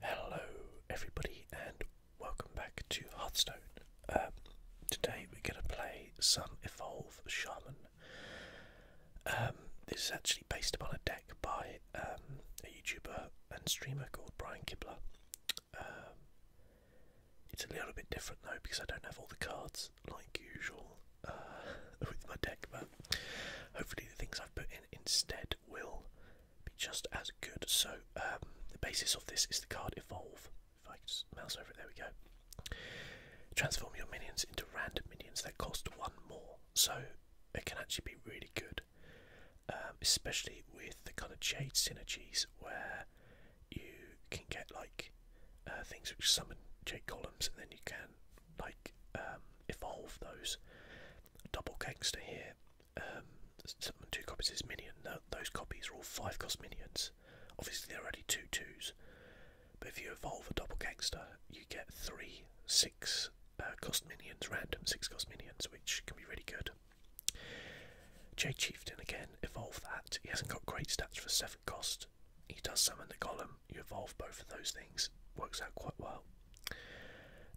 Hello, everybody, and welcome back to Hearthstone. Um, today we're going to play some Evolve Shaman. Um, this is actually based upon a deck by um, a YouTuber and streamer called Brian Kibler. it's a little bit different though because I don't have all the cards like usual uh, with my deck, but hopefully the things I've put in instead will be just as good. So um, the basis of this is the card Evolve. If I just mouse over it, there we go. Transform your minions into random minions that cost one more. So it can actually be really good, um, especially with the kind of Jade synergies where you can get like uh, things which summon Jade columns and then you can like um, evolve those double gangster here. Um, two copies is minion. Those copies are all five cost minions. Obviously, they're only two twos. But if you evolve a double gangster, you get three six uh, cost minions, random six cost minions, which can be really good. Jay Chieftain again, evolve that. He hasn't got great stats for seven cost. He does summon the golem. You evolve both of those things. Works out quite well.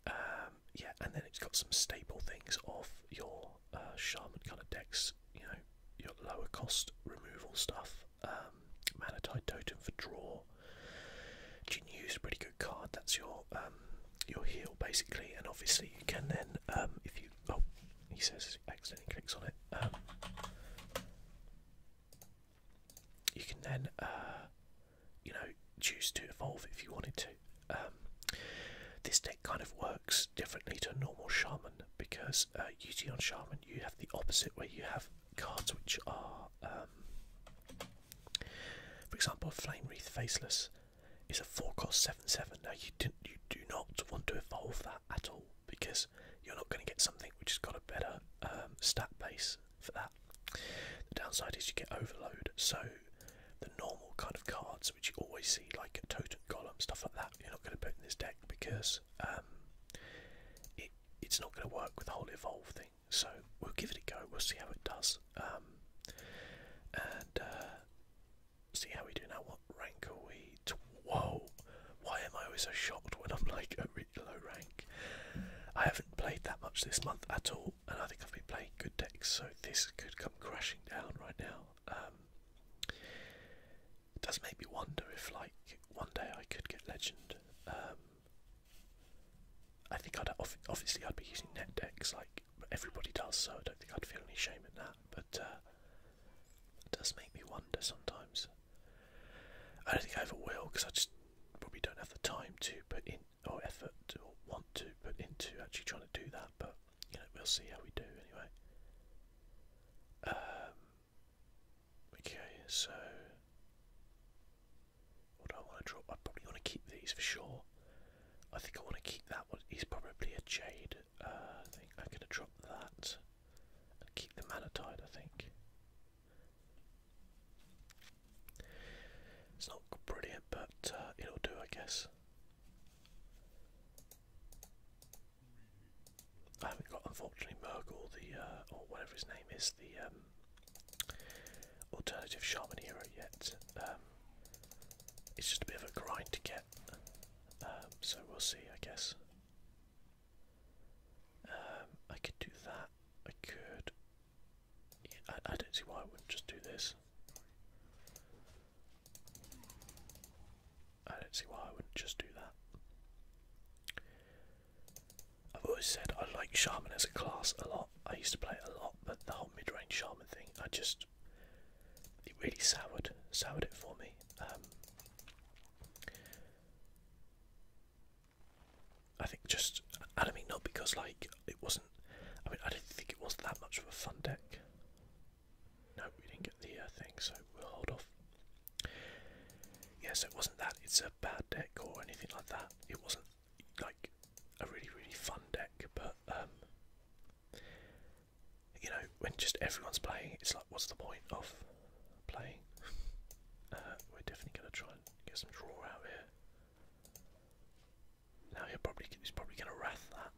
Uh, um, yeah, and then it's got some staple things off your uh, shaman kind of decks. You know, your lower cost removal stuff. Um, mana Manatide Totem for draw. Jin is a pretty good card. That's your um, your heal basically, and obviously you can then if you oh he says accidentally clicks on it. you can then uh, you know, choose to evolve if you wanted to. Um, this deck kind of works differently to a normal shaman because uh, usually on shaman you have the opposite where you have cards which are, um, for example, flame wreath faceless is a four cost seven seven. Now you didn't, you do not want to evolve that at all because you're not going to get something which has got a better um, stat base for that. The downside is you get overload, so the normal kind of cards which you always see, like a totem column, stuff like that, you're not going to put in this deck because um, it, it's not going to work with the whole evolve thing. So we'll give it a go, we'll see how it does. Um, and uh, see how we do now. What rank are we? Whoa! Why am I always so shocked when I'm like a really low rank? I haven't played that much this month at all and I think I've been playing good decks, so this could come crashing down right now. Um, it does make me wonder if, like, one day I could get Legend. Um, I think I'd obviously I'd be using net decks like everybody does, so I don't think I'd feel any shame in that. But uh, it does make me wonder sometimes. I don't think I ever will because I just probably don't have the time to put in or effort or want to put into actually trying to do that, but you know, we'll see how we do anyway. Um, okay, so what do I want to drop? I probably want to keep these for sure. I think I want to keep that one. He's probably a jade. Uh, I think I'm going to drop that and keep the manatide. I think. It's not brilliant, but uh, it'll do, I guess. I haven't got, unfortunately, Murgle, the uh, or whatever his name is, the um, alternative shaman hero yet. Um, it's just a bit of a grind to get, um, so we'll see, I guess. I could do that. I could I, don't see why I wouldn't just do this. I don't see why I wouldn't just do that. I've always said I like Shaman as a class a lot. I used to play it a lot, but the whole mid-range Shaman thing, I just... It really soured, soured it for me. Um, I think just, and I mean not because like it wasn't, I mean I do not think it was that much of a fun deck. No, we didn't get the uh, thing, so we'll hold off. Yeah, so it wasn't that it's a bad deck or anything like that. It wasn't like a really really fun deck, but um, you know when just everyone's playing, it's like what's the point of playing? Uh, we're definitely gonna try and get some draw out here. Now he probably he's probably going to wrath that,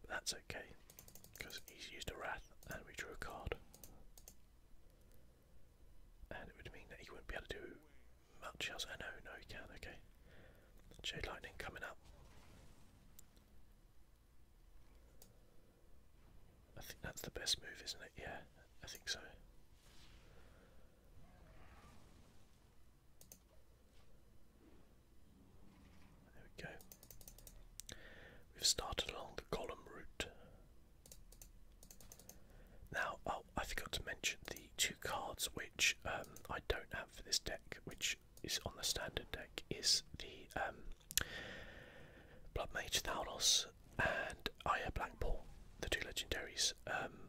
but that's okay because he's used a wrath and we drew a card, and it would mean that he wouldn't be able to do much else. I oh, know, no, he can. Okay, Jade Lightning coming up. I think that's the best move, isn't it? Yeah, I think so. There we go. We've started along the column route. Now, oh, I forgot to mention the two cards which um, I don't have for this deck, which is on the standard deck, is the um, Blood Mage Thanos and Aya Blackpool, the two legendaries. Um,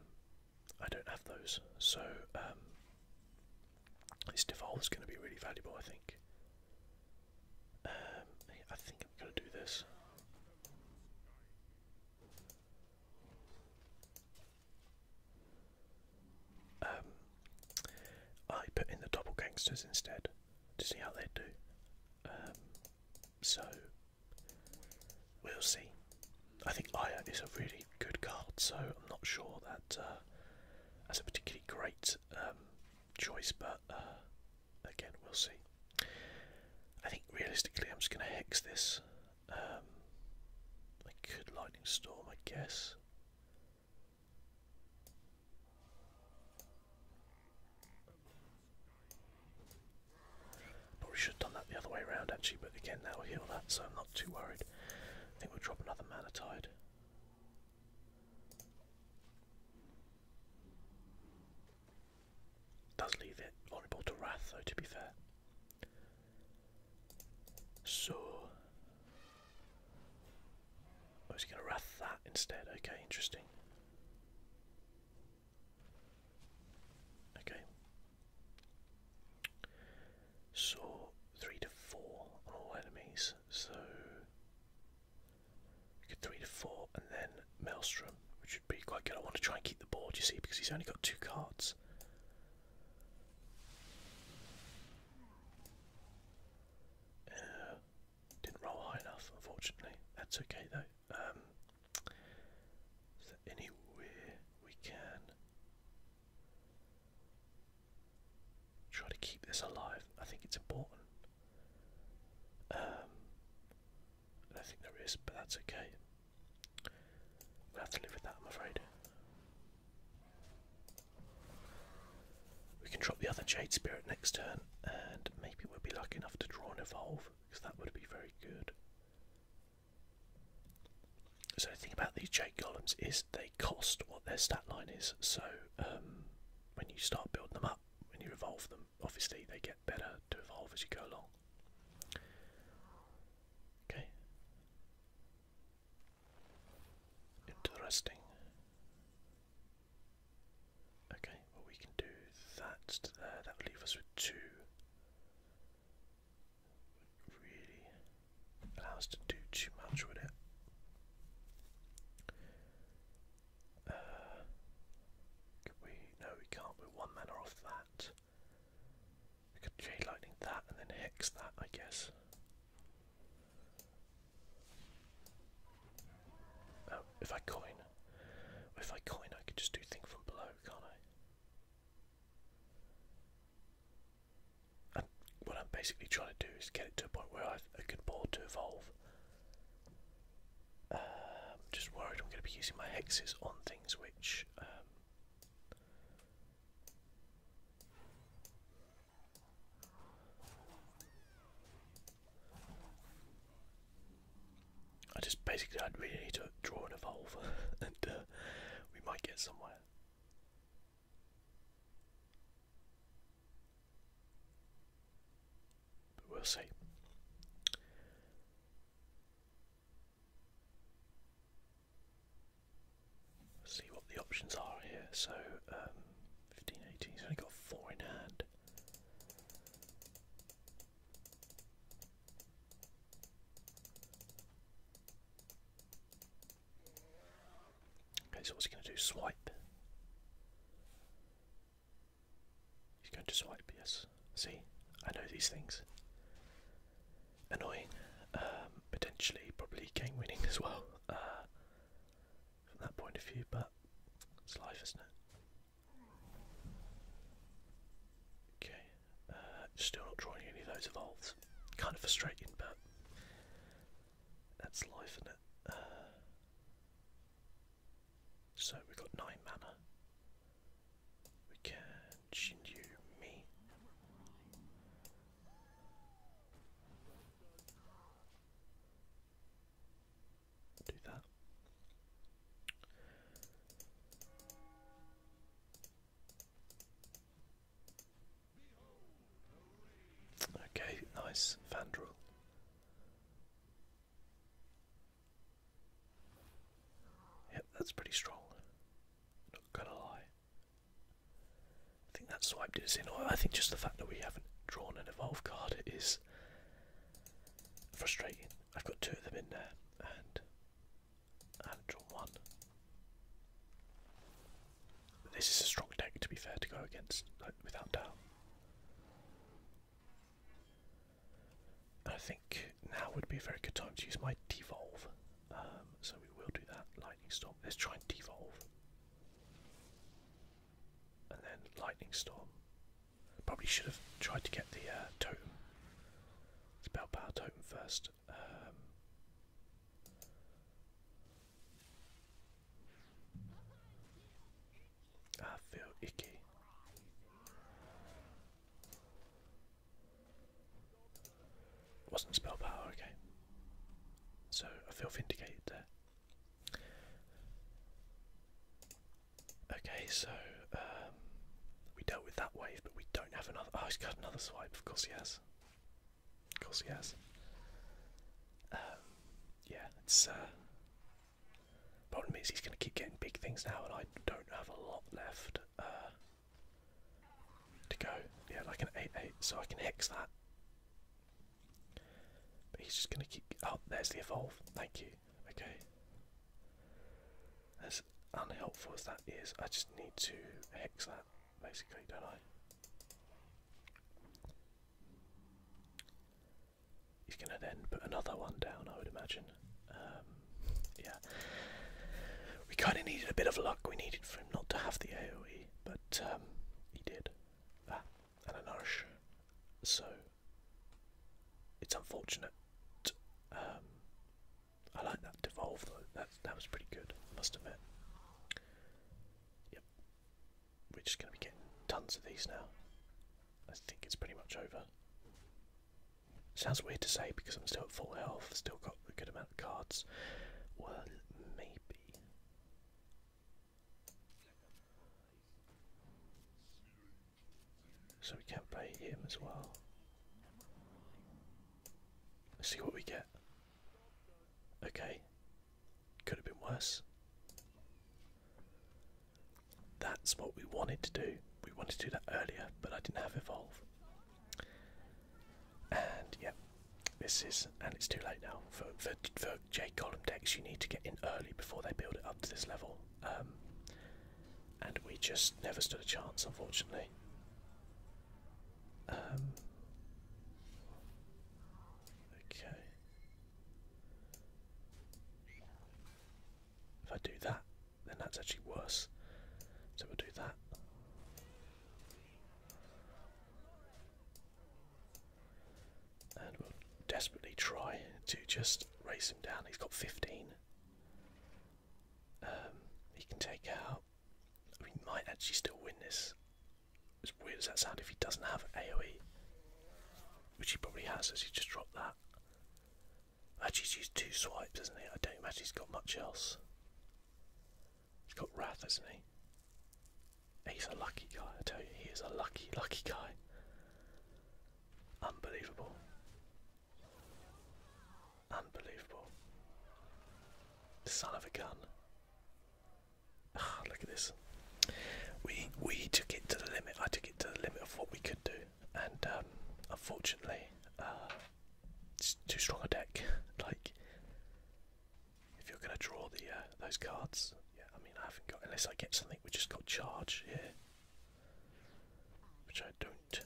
I don't have those, so um, this devolve is going to be really valuable, I think. Um, I think I'm going to do this. Um, I put in the double gangsters instead to see how they do. so We'll see. I think Aya is a really good card, so I'm not sure that uh, a particularly great um, choice, but uh, again, we'll see. I think realistically, I'm just going to hex this. Um, I Lightning Storm, I guess. Probably should have done that the other way around actually, but again that will heal that, so I'm not too worried. I think we'll drop another mana tide. Does leave it vulnerable to wrath though to be fair. So I oh, was gonna wrath that instead, okay, interesting. Okay, so three to four on all enemies, so three to four, and then Maelstrom, which would be quite good. I want to try and keep the board, you see, because he's only got two cards. Uh, didn't roll high enough, unfortunately. That's okay though. Um, is there anywhere we can try to keep this alive? I think it's important. Um, I think there is, but that's okay. we have to live with that, I'm afraid. We can drop the other Jade Spirit next turn, and maybe we'll be lucky enough to draw an Evolve, because that would be very good. So the thing about these Jake columns. is they cost what their stat line is. So um, when you start building them up, when you evolve them, obviously they get better to evolve as you go along. Okay. Interesting. Okay, well we can do that That will us with two really allow to do too much, would it? Uh, we? No, we can't. we one mana off that. We could Jade Lightning that and then Hex that, I guess. Oh, if I coin, if I coin, I could just do thing from below, can't I? And what I'm basically trying to do is get it to a point where I can board to evolve. I'm um, just worried I'm going to be using my hexes on things which. Um, I just basically I'd really need to draw an evolve, and uh, we might get somewhere. But we'll see. see what the options are here. So, fifteen um, fifteen eighteen. He's only got four in hand. Okay, so what's he going to do? Swipe. He's going to swipe, yes. See, I know these things. Annoying. Um, potentially, probably game winning as well, uh, from that point of view, but it's life, isn't it? Okay still not drawing any of those evolves. Kind of frustrating, but that's life, isn't it? Uh, so we've got nine mana. We can Shinju me. Do that. Okay, nice, Vandrel. Yep, that's pretty strong. Not gonna lie. I think that swiped us in. I think just the fact that we haven't drawn an evolve card is frustrating. I've got two of them in there, and and one. This is a strong deck, to be fair, to go against, without doubt. I think now would be a very good time to use my devolve, um, so we will do that. Lightning storm. Let's try and devolve, and then lightning storm. Probably should have tried to get the uh, totem, spell power totem first. Um, I feel icky. Wasn't spell power, okay. So I feel vindicated there. Okay, so um, we dealt with that wave, but we don't have another. Oh, he's got another swipe. Of course he has. Of course he has. Um, yeah, it's. Uh, problem is he's going to keep getting big things now, and I don't have a lot left uh, to go. Yeah, like an eight-eight, so I can hex that. But he's just going to keep. Oh, there's the evolve. Thank you. Okay. As unhelpful as that is, I just need to hex that, basically, don't I? He's going to then put another one down, I would imagine. Um, yeah. We kind of needed a bit of luck. We needed for him not to have the AoE, but um, he did. Ah, and a nourish. So, it's unfortunate. Um, I like that devolve though. That that was pretty good, I must admit. Yep. We're just gonna be getting tons of these now. I think it's pretty much over. Sounds weird to say because I'm still at full health, still got a good amount of cards. Well, maybe. So we can play him as well. Let's see what we get. Okay. Could have been worse. That's what we wanted to do. We wanted to do that earlier, but I didn't have Evolve. And yeah, this is, and it's too late now. For, for, J column decks, you need to get in early before they build it up to this level. Um, and we just never stood a chance, unfortunately. Um, okay. If I do that, then that's actually worse. So we'll do that. And we'll desperately try to just race him down. He's got 15. Um, he can take out he might actually still win this. As weird as that sounds, if he doesn't have AoE, which he probably has, as he just dropped that. Actually, he's used two swipes, has not he? I don't imagine he's got much else. He's got Wrath, hasn't he? He's a lucky guy, I tell you, he is a lucky, lucky guy. Unbelievable. Unbelievable. Son of a gun. Ah, look at this. We we took it to the limit. I took it to the limit of what we could do, and um, unfortunately, uh, it's too strong a deck. like, if you're gonna draw the uh, those cards, yeah. I mean, I haven't got unless I get something. We just got charge here, which I don't.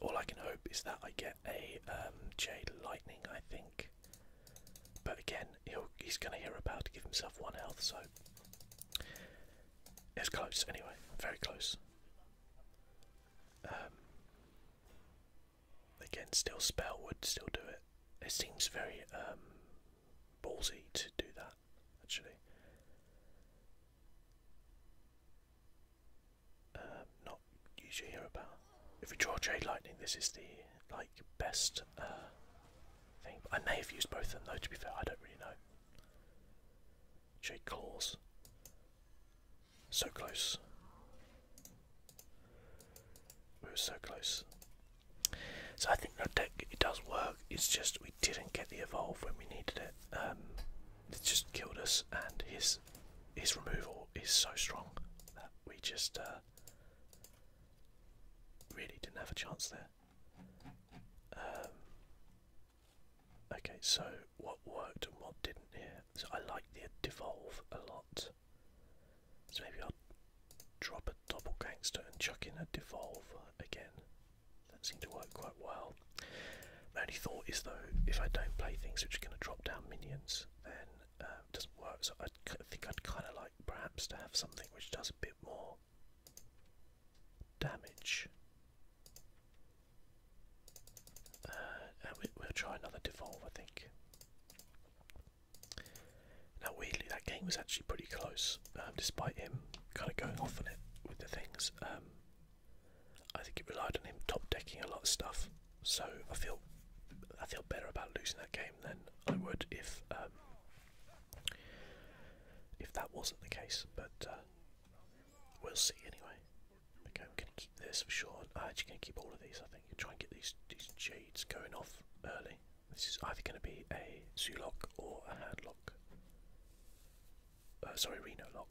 All I can hope is that I get a um, Jade Lightning, I think. But again, he's going to hear about to give himself one health, so it's close anyway, very close. Um, again, still spell would still do it. It seems very um, ballsy to do that actually. Um, not usually hear about. If you draw Jade Lightning, this is the like best uh, thing. I may have used both of them though. To be fair, I don't really know. Jade Claws. So close. We were so close. So I think that deck it does work. It's just we didn't get the evolve when we needed it. Um, it just killed us, and his his removal is so strong that we just uh, really didn't have a chance there. Um, okay, so what worked and what didn't here? I like the devolve a lot. So maybe I'll drop a double gangster and chuck in a devolve again. That seemed to work quite well. My only thought is though, if I don't play things which are going to drop down minions, then uh, it doesn't work. So I think I'd kind of like perhaps to have something which does a bit more damage. Uh, we'll try another devolve, I think. Now, weirdly, that game was actually pretty close, um, despite him kind of going off on it with the things. Um, I think it relied on him top decking a lot of stuff, so I feel I feel better about losing that game than I would if um, if that wasn't the case. But uh, we'll see anyway. Okay, I'm going to keep this for sure. I'm actually going to keep all of these. I think and try and get these these jades going off early. This is either going to be a Zulok or a Handlock. Uh, sorry, Reno Lock.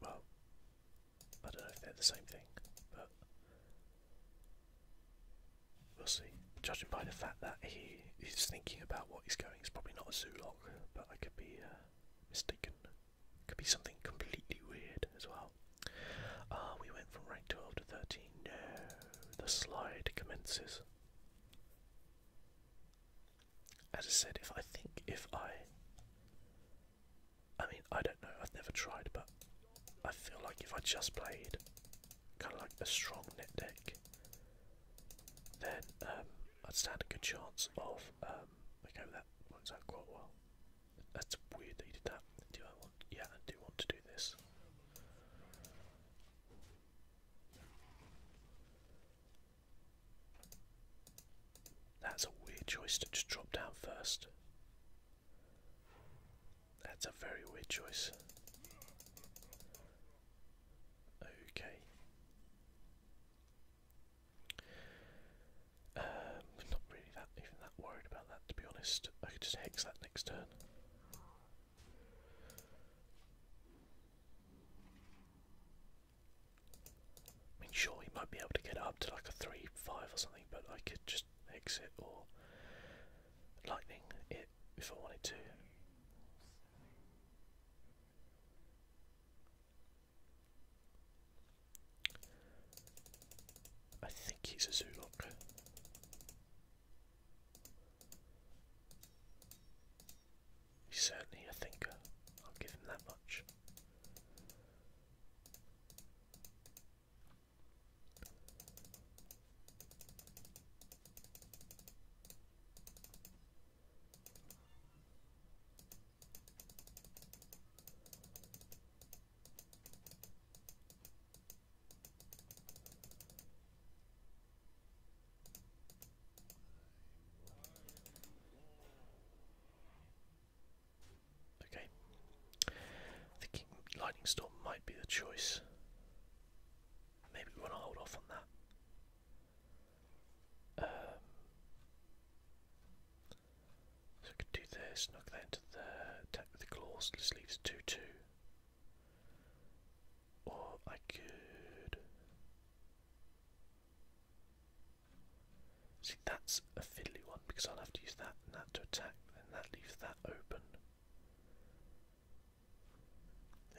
Well, I don't know if they're the same thing, but we'll see. Judging by the fact that he is thinking about what he's going, it's probably not a Zulok, but I could be uh, mistaken. Could be something completely weird as well. Ah, we went from rank 12 to 13. No, the slide commences. As I said, if I think if I. I mean, I don't know, I've never tried, but I feel like if I just played kind of like a strong net deck, then um, I'd stand a good chance of. Um, okay, that works out quite well. That's weird that you did that. Do I want. Yeah, I do want to do this. That's a weird choice to just drop down first. That's a very weird choice. Okay. Um, not really that even that worried about that to be honest. I could just hex that next turn. I mean, sure, we might be able to get up to like a 3 5 or something, but I could just exit or lightning it if I wanted to. I think he's a Zulok. He's certainly a thinker, uh, I'll give him that much. Okay. Thinking lightning storm might be the choice. Maybe we want to hold off on that. Um, so I could do this, knock that into the attack the claws, this leaves two two. Or I could. See, that's a fiddly one because I'll have to use that and that to attack, and that leaves that open.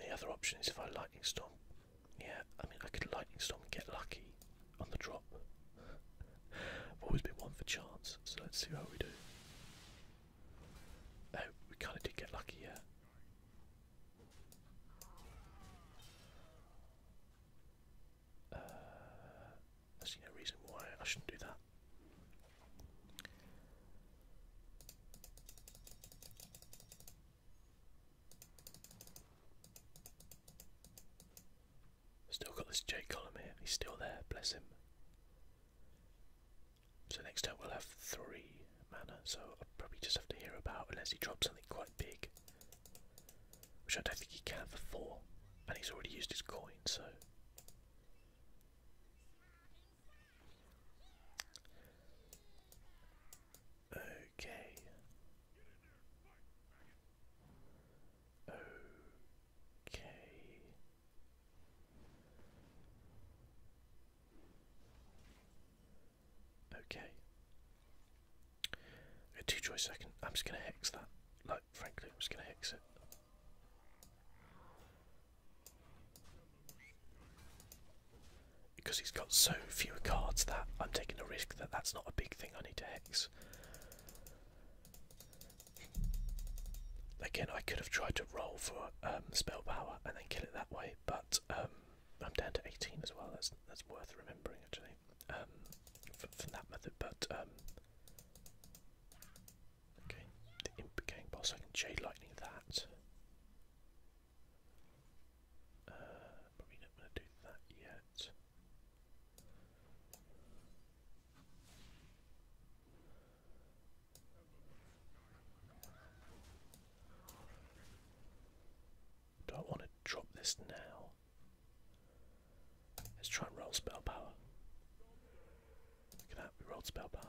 The other option is if I lightning storm. Yeah, I mean, I could lightning storm and get lucky on the drop. I've always been one for chance, so let's see how we do. Oh, we kind of did get lucky here. Uh, no reason why I shouldn't do that. Still got this J column here. He's still there. Bless him. So next turn we'll have three mana, so I'll probably just have to hear about unless he drops something quite big. Which I don't think he can for four. And he's already used his coin, so Okay. Okay. Okay. A two choice i I'm just gonna hex that. Like frankly, I'm just gonna hex it. Because he's got so few cards that I'm taking a risk that that's not a big thing I need to hex. Again, I could have tried to roll for um, spell power and then kill it that way, but um, I'm down to 18 as well. That's that's worth remembering actually um, from, that method. But um, okay, the imp gang boss. lightning that. Uh, probably not going to do that yet. Do I want to drop this now? Let's try and roll spell power. Look at that, we rolled spell power.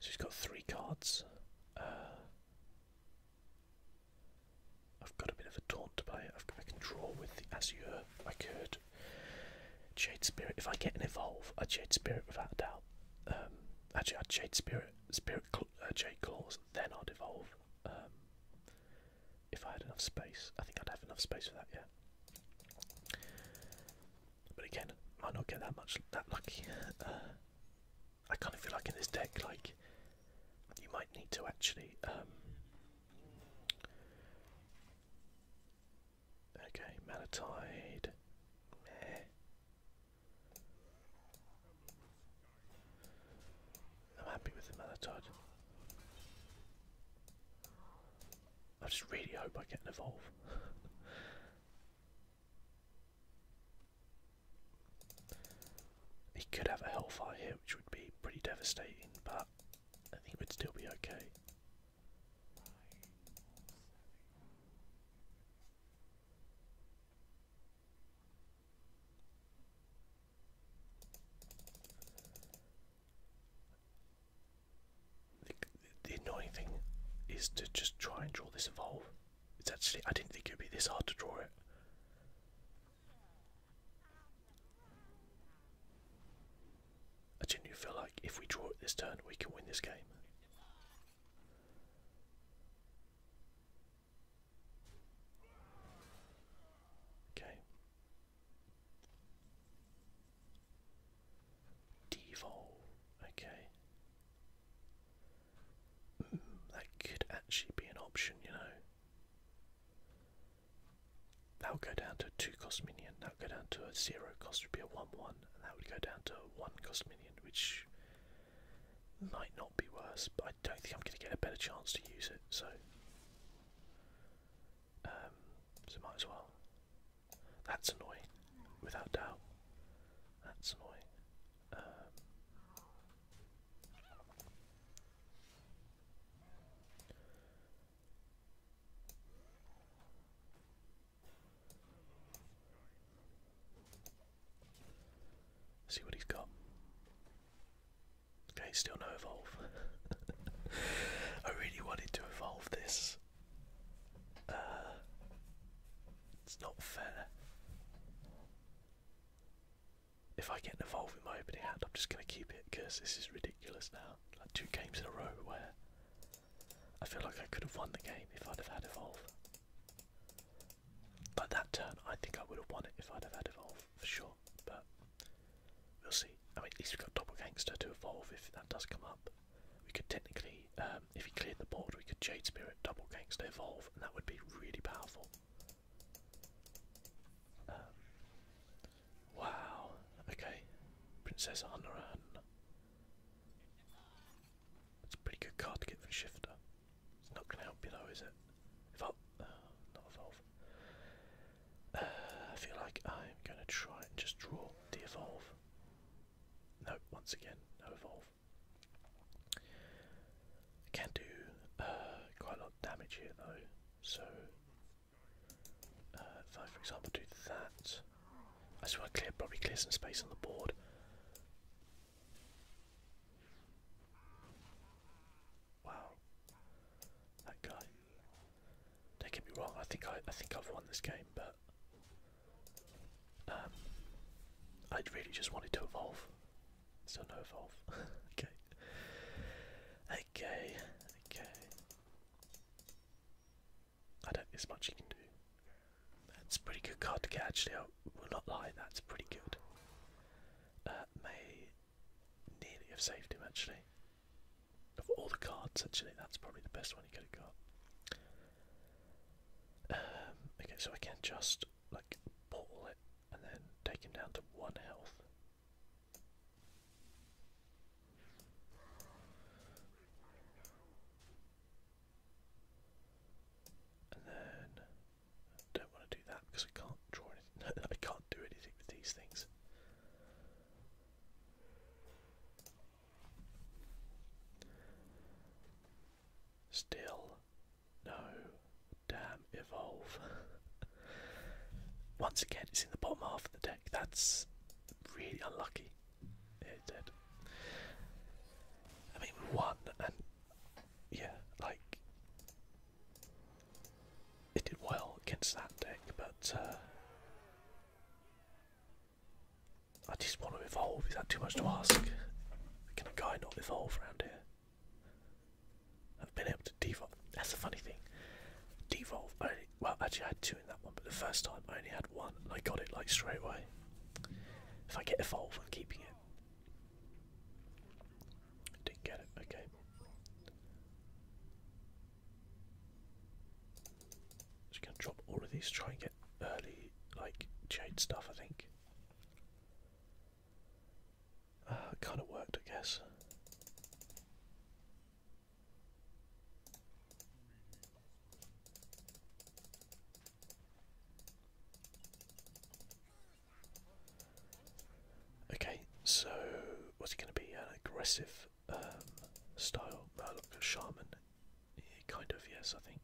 So he has got three cards. Uh, I've got a bit of a taunt to play. I've, I can draw with the Azure. I could. Jade Spirit. If I get an Evolve, a Jade Spirit without a doubt. Um, actually, i Jade Spirit, Spirit uh, Jade Claws, then I'd Evolve. Um, if I had enough space. I think I'd have enough space for that, yeah. But again, might not get that much, that lucky. Uh, I kind of feel like in this deck, like, you might need to actually um, Okay, Malatide. I'm happy with the Malatide. I just really hope I get an evolve. He could have a Hellfire here, which would be pretty devastating, but I think it would still be okay. the annoying thing is to just try and draw this evolve. It's actually, I didn't think it would be this hard to draw it. I genuinely feel like if we draw it this turn, we can win this game. Okay. Devolve. Okay. Hmm, that could actually be an option, you know. That would go down to 2 cost minion, that would go down to a 0 cost, would be a 1 1, and that would go down to 1 cost minion, which might not be worse, but I don't think I'm going to get a better chance to use it, so. Um, might as well. That's annoying, without doubt. That's annoying. Um, See what he's got. Okay, still no evolve. I really wanted to evolve this. Uh, it's not fair if I get an in my opening hand, I'm just going to keep it because this is ridiculous now. Like two games in a row where I feel like I could have won the game if I'd have had evolve. But that turn, I think I would have won it if I'd have had evolve for sure. But we'll see. I mean, at least we've got double gangster to evolve if that does come up. We could technically, um, if he cleared the board, we could Jade Spirit double gangster evolve, and that would be really powerful. Um, wow. Okay. Princess Honoran. It's a pretty good card to get from Shifter. It's not going to help you though, is it? Evolve. Oh, uh, not evolve. Uh, I feel like I'm going to try and just draw the evolve. No, once again, no evolve. can do uh, quite a lot damage here though, so uh, if I, for example, do that, I just clear, probably clear some space on the board. Wow, that guy. Don't get me wrong. I think I, I think I've won this game, but um, I really just wanted to evolve. Still no evolve. okay. Okay, okay. I don't there's much you can do. That's pretty good card to get actually, I will not lie, that's pretty good. Uh, may nearly have saved him actually. Of all the cards actually, that's probably the best one he could have got. Um, okay, so I can just like pull it and then take him down to one health. And then I don't want to do that because I can't draw anything. I can't do anything with these things. Still no damn evolve. Once again, it's in the bottom half of the deck. That's really unlucky. It did. I mean, one and yeah, like it did well against that deck, but uh, I just want to evolve. Is that too much to ask? Can a guy not evolve around here? I've been able to devolve. That's the funny thing. Devolve. well, actually, I had two in that one, but the first time I only had one, and I got it like straight away. If I get evolve, I'm keeping it. I didn't get it. Okay. Just gonna drop all of these. Try and get early, like jade stuff. I think. Uh, it kind of worked, I guess. Okay, so what's it going to be? An aggressive um, style Murloc Shaman? Yeah, kind of, yes, I think.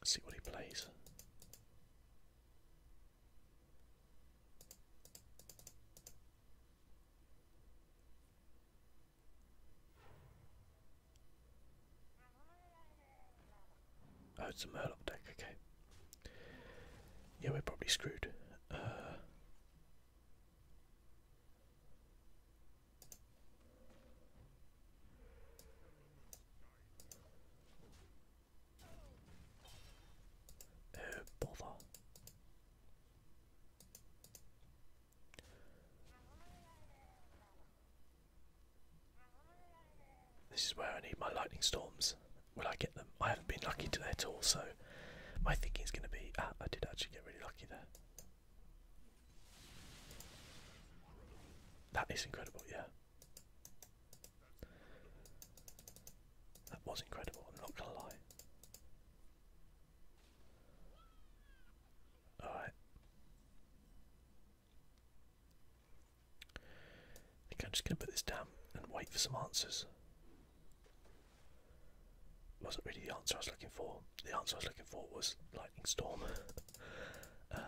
Let's see what he plays. Oh, it's a Murloc deck, okay. Yeah, we're probably screwed oh bother. This is where I need my lightning storms will I get them? I haven't been lucky to at all, so my thinking is going to be ah, I did actually get really lucky there. That is incredible, yeah. That was incredible, I'm not gonna lie. Alright. I think I'm just going to put this down and wait for some answers. Wasn't really the answer I was looking for. The answer I was looking for was lightning storm. Uh,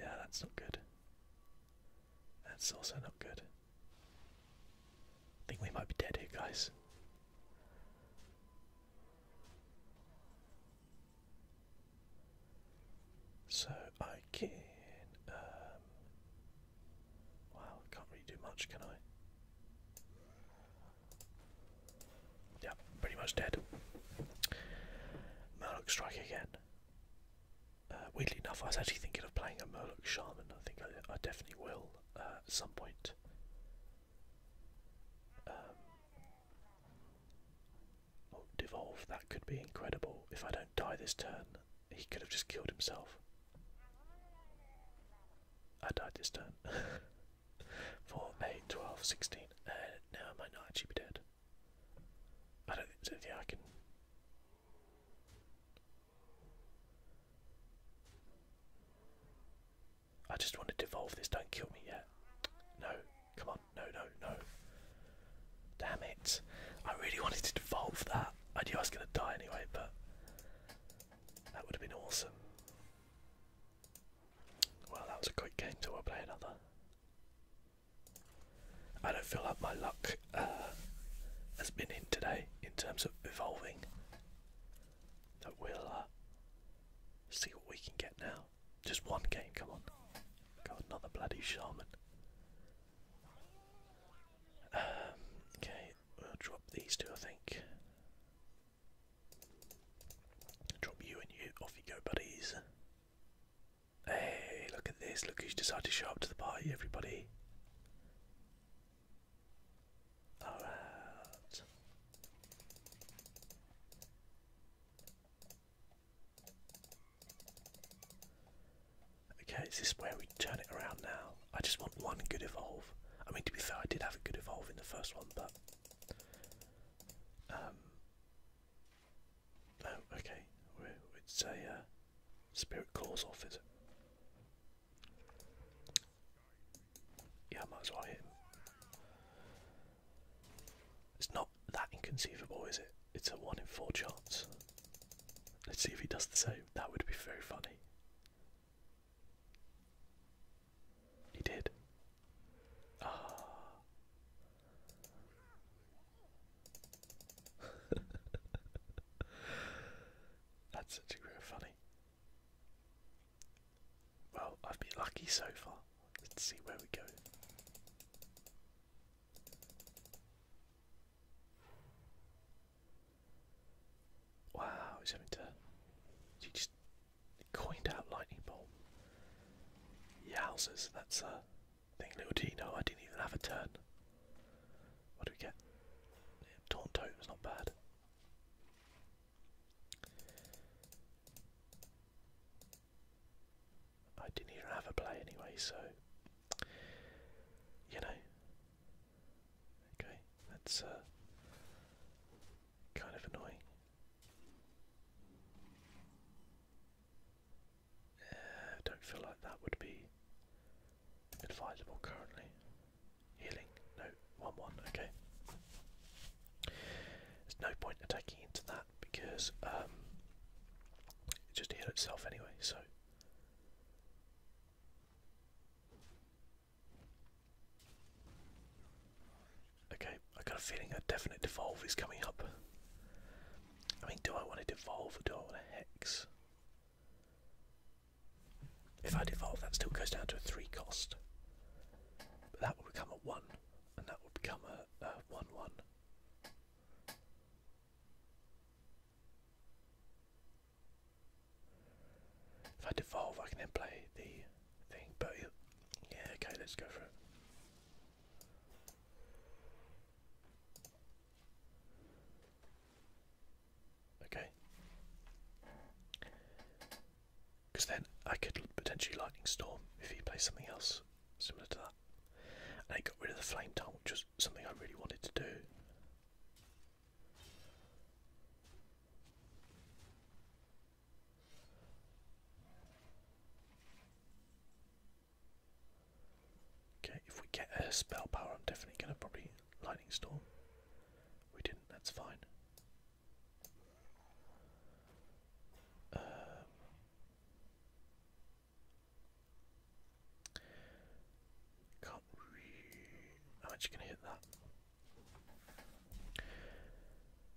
yeah, that's not good. That's also not good. I think we might be dead here, guys. So I can. Um, wow, can't really do much, can I? Yeah, pretty much dead. Murloc Strike again. Uh, weirdly enough, I was actually thinking of playing a Murloc Shaman. I think I, definitely will uh, at some point. Um, Devolve, that could be incredible. If I don't die this turn, he could have just killed himself. I died this turn. 4, 8, 12, 16. Uh, now I might not actually be dead. I don't think so. yeah, I can. I just want to devolve this. Don't kill me yet. No, come on. No, no, no. Damn it. I really wanted to evolve that. I knew I was going to die anyway, but that would have been awesome. Well, that was a quick game till I play another. I don't feel like my luck uh, has been in today in terms of evolving. But we'll uh, see what we can get now. Just one game, come on. Got another bloody shaman. Um, okay, we'll drop these two, I think. Drop you and you. Off you go, buddies. Hey, look at this. Look who's decided to show up to the party, everybody. Alright. Okay, is this where we turn it around now? I just want one good evolve. I mean, to be fair, I did have a good evolve in the first one, but. Um, oh, okay. We're, it's a uh, spirit claws off, is it? Yeah, I might as well hit It's not that inconceivable, is it? It's a 1 in 4 chance. Let's see if he does the same. That would be very funny. He did. Ah. That's such a great funny. Well, I've been lucky so far. Let's see where we go. Wow, he's having to. He just coined out lightning bolt. Yowzers, that's a thing, little I didn't even have a turn. What do we get? Yeah, Taunt Totem's not bad. I didn't even have a play anyway, so you know. Okay, that's uh, kind of annoying. I uh, don't feel like that would be advisable currently. Healing, no, 1 1, okay. There's no point attacking into that because um, it just heals itself anyway, so Okay, I got a feeling a definite devolve is coming up. I mean, do I want to devolve or do I want to hex? If I devolve, that still goes down to a 3 cost. But that will become a 1, and that will become a 1-1. one one if I devolve, I can then play the thing, but yeah, okay, let's go for it. Okay. Because then I could potentially lightning storm if he plays something else similar to that. I got rid of the flame tongue, which was something I really wanted to do. Okay, if we get a spell power, I'm definitely going to probably lightning storm. We didn't, that's fine. Um, can't I'm actually going to hit that.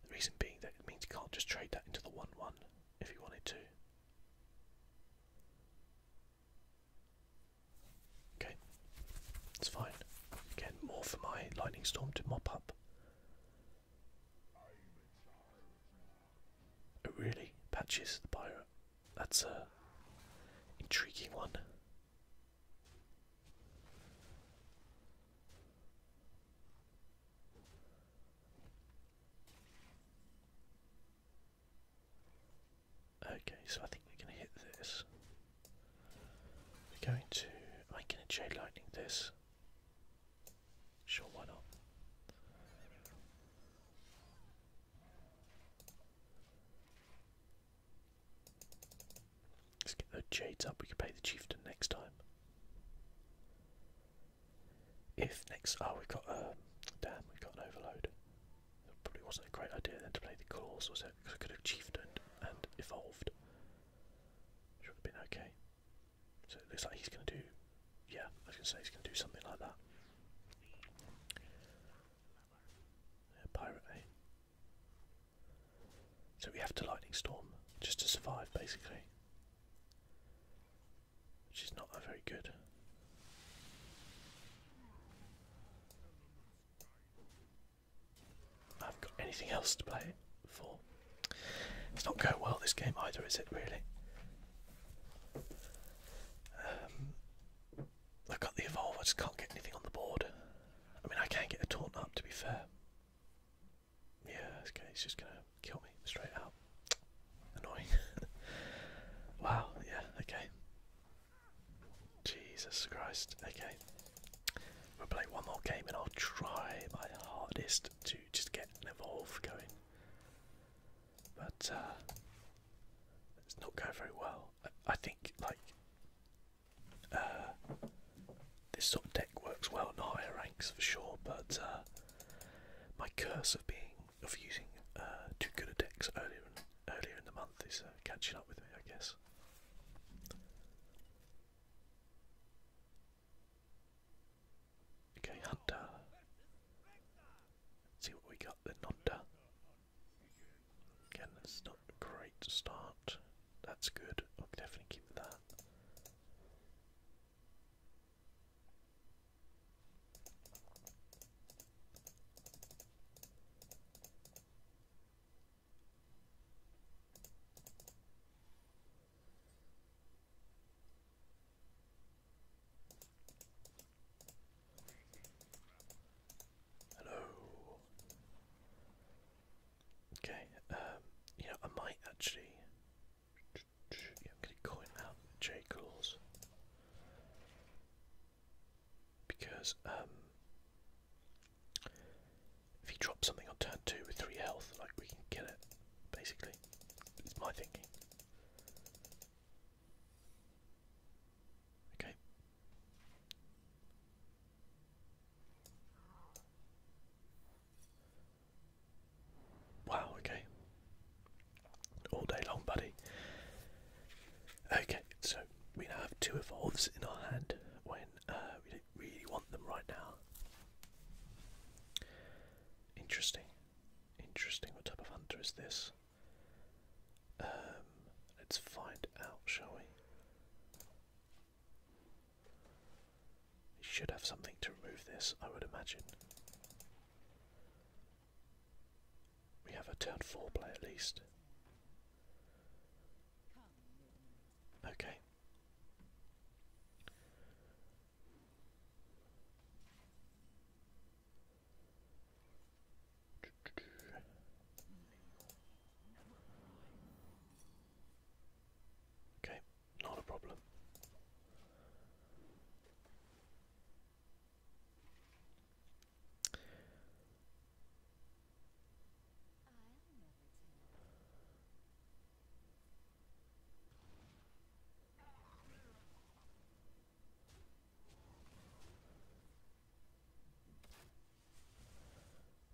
The reason being that it means you can't just trade that into the 1 1 if you wanted to. Okay, it's fine. Again, more for my lightning storm to mop up. Oh really? Patches the pirate. That's a intriguing one. Okay, so I think we're gonna hit this. We're going to am I gonna J lightning this? Sure why not? Let's get those jades up. We can pay the chieftain next time. If next, oh, we've got um, damn, we've got an overload. That probably wasn't a great idea then to play the claws, was it? Because I could have chieftain and evolved. Should have been okay. So it looks like he's going to do yeah, I was gonna say he's gonna do something like that. pirate, eh? So we have to lightning storm just to survive, basically, which is not very good. I haven't got anything else to play for. It's not going well this game either, is it really? Um, i got the evolve, I just can't get anything on the board. I mean, I can get a taunt up, to be fair. Yeah, Okay. It's just gonna kill me straight out. Annoying. wow, yeah, okay. Jesus Christ, okay. We'll play one more game and I'll try my hardest to just get an evolve going but uh, it's not going very well. I, think like uh, this sort of deck works well in higher ranks for sure, but uh, my curse of being of using too good a decks earlier earlier in the month is catching up with me, I guess. Okay, Hunter see what we got. The Nonda. Again, that's not a great start. That's good. I'll definitely keep that. Hello. Okay, um, I might actually. Yeah, I'm going out J calls because um, if he drops something on turn two with three health, like we can kill it. Basically, it's my thinking. Okay. Wow, okay. All day long, buddy. Okay, so we now have two evolves in our hand when uh, we don't really want them right now. Interesting. Interesting. What type of hunter is this? Um, let's find out, shall we? We should have something to remove this, I would imagine. We have a turn 4 play at least. Okay. Okay, not a problem.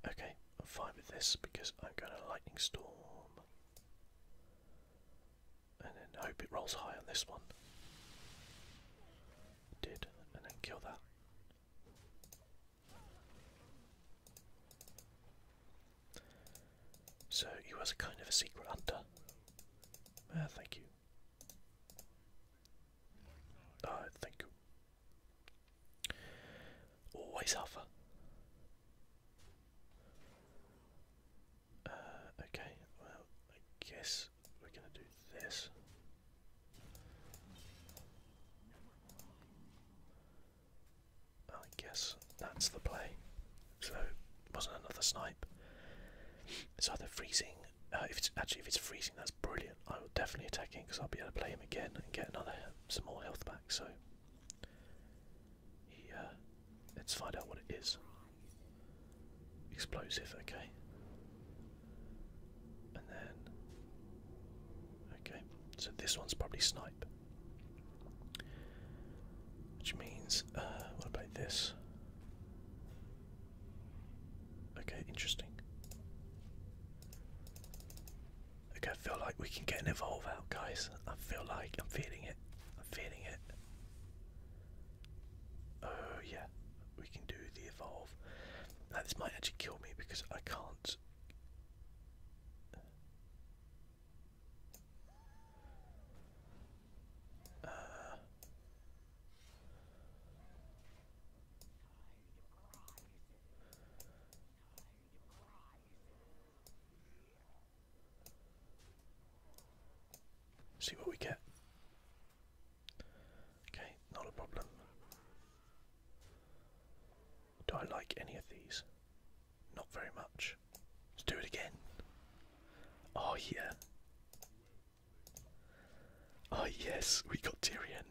Okay, I'm fine with this because I'm going to lightning storm. And then hope it rolls high on this one. did, and then kill that. So you was a kind of a secret hunter. Ah, thank you. Uh, thank Always alpha. okay, well, I guess we're gonna do this. I guess that's the play. So, wasn't another snipe. It's either freezing. Uh, if it's actually if it's freezing, that's brilliant. I will definitely attack him because I'll be able to play him again and get another small health back. So, yeah, uh, let's find out what it is. Explosive, okay. And then, okay, so this one's probably snipe, which means uh, what about this? Okay, interesting. Okay, I feel like we can get an evolve out, guys. I feel like I'm feeling it. I'm feeling it. Oh yeah, we can do the evolve. Now this might actually kill me because I can't. Uh, See what we get. Okay, not a problem. Do I like any of these? Not very much. Let's do it again. Oh, yeah. Oh yes, we got Tyrion,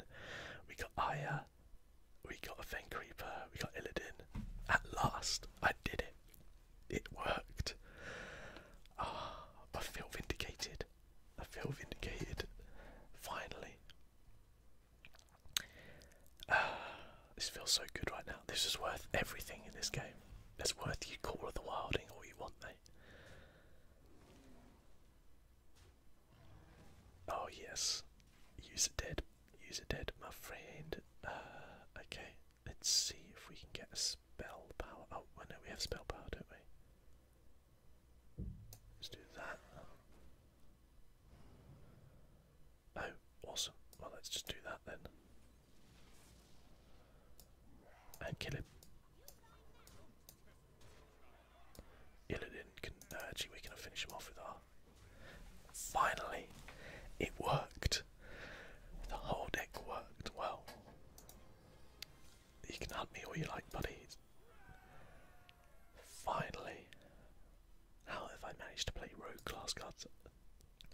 we got Aya, we got a Fen Creeper, we got Illidan. At last, I did it. It worked. Ah, I feel vindicated. I feel vindicated. Finally. Ah, this feels so good right now. This is worth everything in this game. It's worth you Call of the Wilding all you want, me. Oh yes, use it dead, use it dead, my friend. Uh, okay, let's see if we can get a spell power. Oh, well, no, we have spell power, don't we? Let's do that. Oh, awesome. Well, let's just do that then and kill him. Illidan can actually we can finish him off with our. Finally, it worked. The whole deck worked well. You can hunt me or you like, buddy. Finally, how have I managed to play rogue class cards?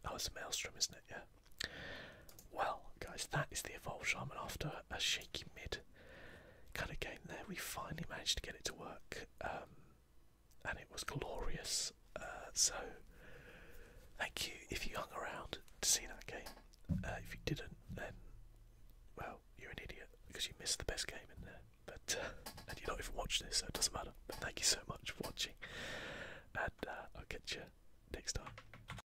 Oh, it's a maelstrom, isn't it? Yeah. Well, guys, that is the Evolve Shaman after a shaky mid kind of game there. We finally managed to get it to work, um, and it was glorious. Uh, so, thank you if you hung around to see that game. Uh, if you didn't, then, well, you're an idiot because you missed the best game in there. But, uh, and you're not even watching this, so it doesn't matter. But thank you so much for watching, and I'll catch you next time.